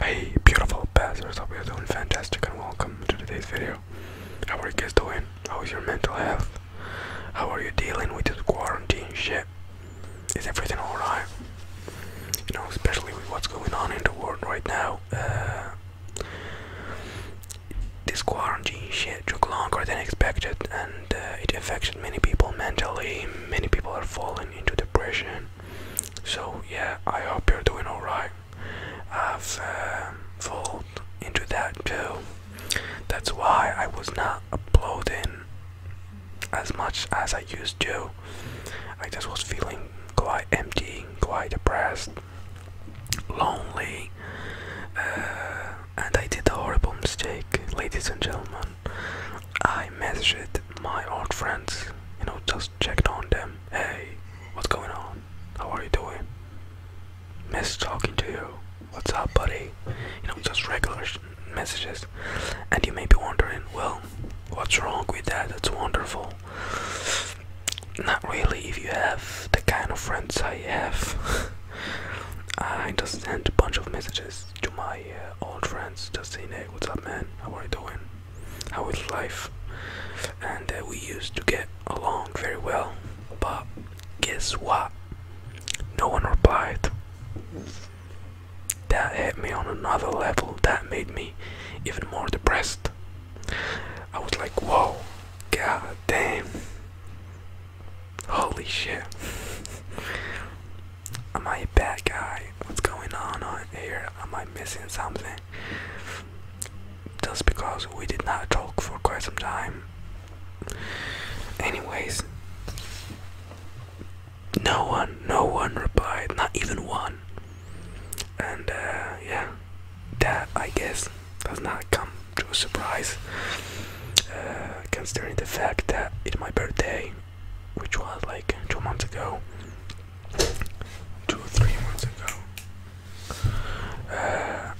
Hey beautiful passers, hope you're doing fantastic and welcome to today's video. How are you guys doing? How is your mental health? How are you dealing with this quarantine shit? Is everything alright? You know, especially with what's going on in the world right now. Uh, this quarantine shit took longer than expected and uh, it affected many people mentally, many people are falling into depression. So, yeah, I hope you're doing alright. I've uh, fallen into that too. That's why I was not uploading as much as I used to. I just was feeling quite empty, quite depressed, lonely, uh, and I did a horrible mistake, ladies and gentlemen. I messaged my old friends, you know, just checked on them. Hey, what's going on? How are you doing? Miss talking to you. What's up, buddy? You know, just regular messages. And you may be wondering, well, what's wrong with that? That's wonderful. Not really, if you have the kind of friends I have. I just sent a bunch of messages to my uh, old friends, just hey, what's up, man? How are you doing? How is life? And uh, we used to get along very well, but guess what? No one replied. That hit me on another level, that made me even more depressed. I was like, whoa, god damn, holy shit. Am I a bad guy? What's going on here? Am I missing something? Just because we did not talk for quite some time. Anyways, no one, no one replied, not even one. And uh, yeah, that I guess does not come to a surprise, uh, considering the fact that it's my birthday which was like two months ago, two or three months ago. Uh,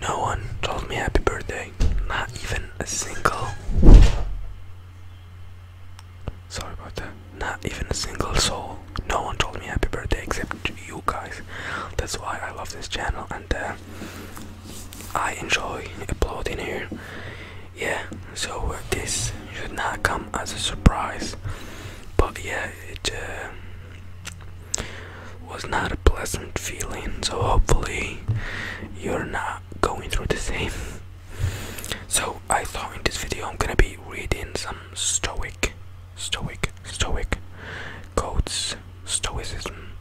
no one told me happy birthday, not even a single. Sorry about that. Not even a single soul. No one told me happy birthday except you guys. That's why I love this channel, and uh, I enjoy uploading here. Yeah, so this should not come as a surprise, but yeah, it uh, was not a pleasant feeling. So hopefully, you're not going through the same. So I thought in this video I'm gonna be reading some stoic, stoic, stoic quotes, stoicism.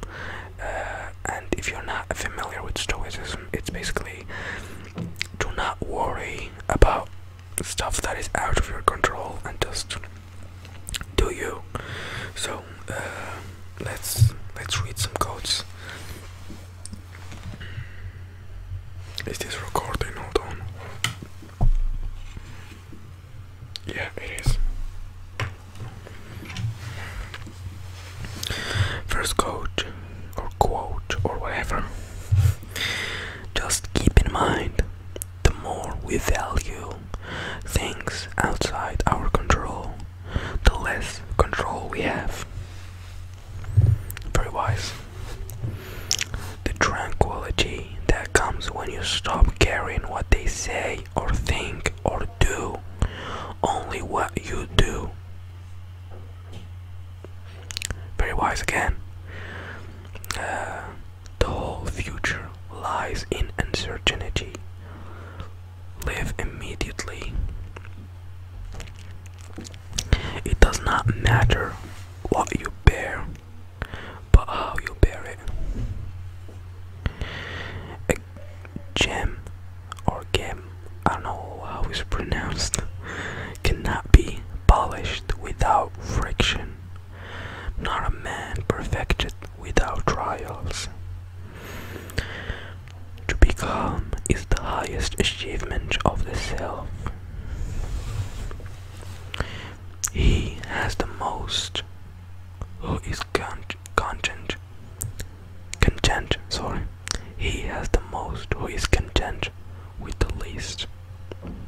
Uh, and if you're not familiar with Stoicism, it's basically do not worry about stuff that is out of your control and just do you. So uh, let's let's read some quotes. Is this recording? Hold on. Yeah, it is. First quote, or quote or whatever. Just keep in mind the more we value things outside our control, the less control we have. Very wise. The tranquility that comes when you stop caring what they say or think or do, only what you do. Very wise again. Uh, the whole future lies in uncertainty. Live immediately. It does not matter what you bear, but how you bear it. Gem or Gem, I know how it's pronounced, cannot be polished without friction, not a man perfected without trials. To be calm is the highest achievement of the self. He has the most who is con content content sorry he has the most who is content with the least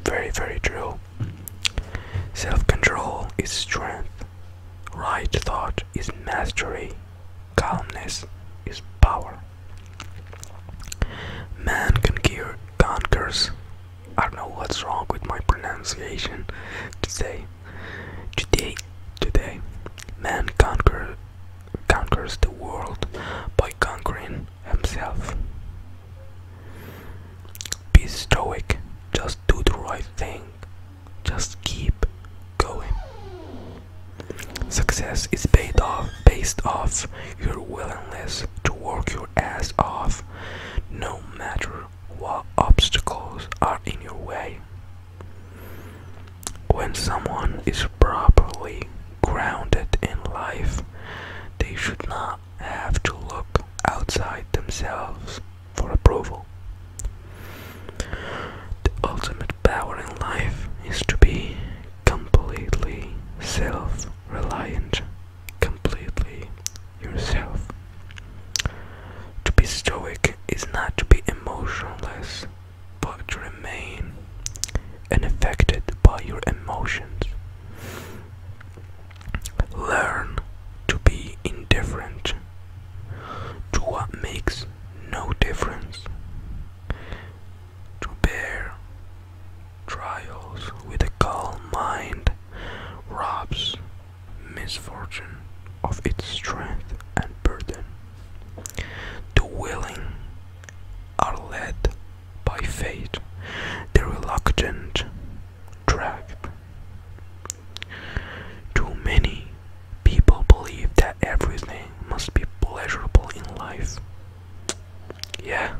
very very true self-control is strength right thought is mastery calmness is power man conquers i don't know what's wrong with my pronunciation today Today, today, man conquer, conquers the world by conquering himself. Be stoic, just do the right thing, just keep going. Success is based off, based off your willingness to work your ass off, no matter what obstacles are in your way. When someone is properly grounded in life, they should not have to look outside themselves for approval. The ultimate power in life is to be completely self reliant, completely yourself. To be stoic is not to be emotionless, but to remain unaffected by your emotions. Learn to be indifferent to what makes no difference. To bear trials with a calm mind robs misfortune of its strength and burden. The willing are led by fate, the reluctant dragged. Too many people believe that everything must be pleasurable in life. Yeah,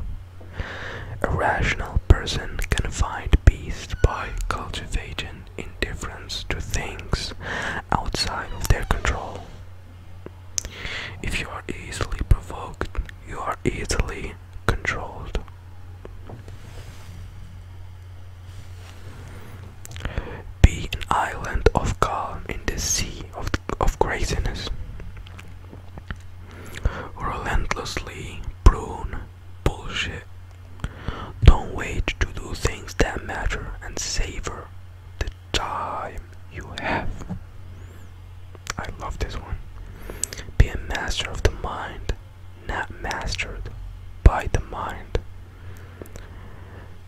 a person can find peace by cultivating indifference to things outside of their control. If you are easily provoked, you are easily controlled. Be an island of calm in the sea of, of craziness. Relentlessly prune Bullshit. Don't wait to do things that matter and savor the time you have. I love this one. Be a master of the mind, not mastered by the mind.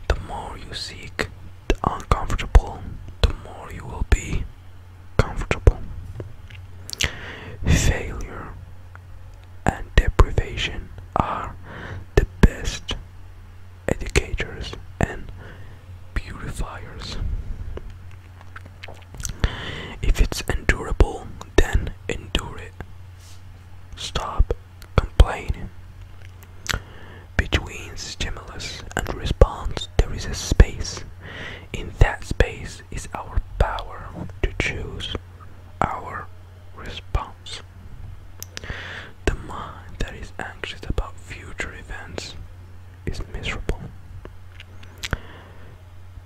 The more you seek the uncomfortable, the more you will be comfortable. Failure and deprivation are the best educators and purifiers. If it's endurable, then endure it. Stop complaining. Between stimulus and response, there is a space. In that space is our power to choose our response. The mind that is anxious about future events is miserable.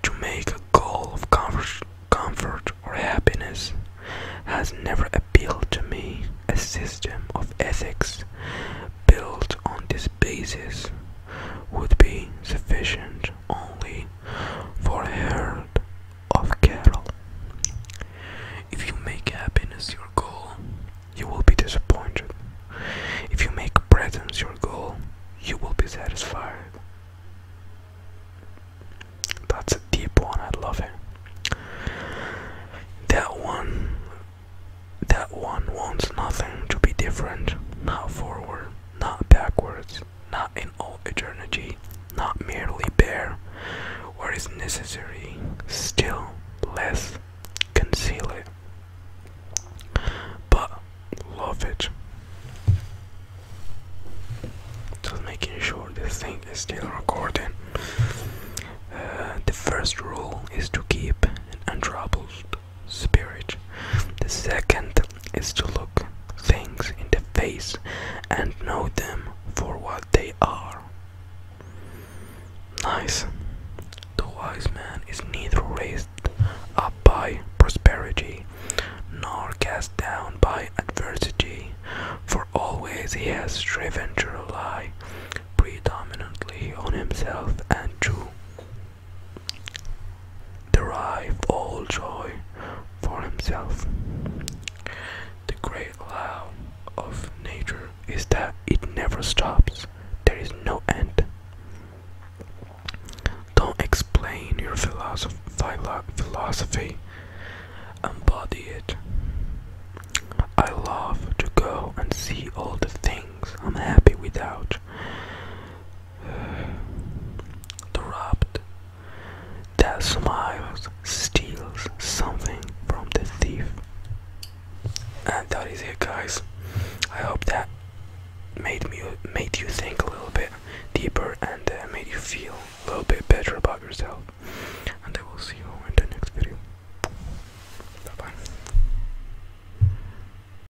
To make a goal of comfort, or happiness has never appealed to me. A system of ethics built on this basis would be sufficient only for a herd of cattle. If you make happiness your goal, you will be disappointed. If you make presents your goal, you will be satisfied. That's a deep one, I love it. That one that one wants nothing to be different, not forward, not backwards not in all eternity, not merely bear or is necessary, still less conceal it, but love it. Just making sure this thing is still recording. Uh, the first rule is to keep untroubled spirit. The second is to look things in the face and know them for what they are. Nice. The wise man is neither raised up by prosperity nor cast down by adversity, for always he has striven to rely predominantly on himself and to derived all joy for himself. The great law of nature is that it never stops, there is no end. Don't explain your philosophy, embody it. I love to go and see all the things I'm happy without. The robbed that smiles steals something from the thief. And that is it guys. I hope that made me made you think a little bit deeper and uh, made you feel a little bit better about yourself. And I will see you in the next video. Bye bye.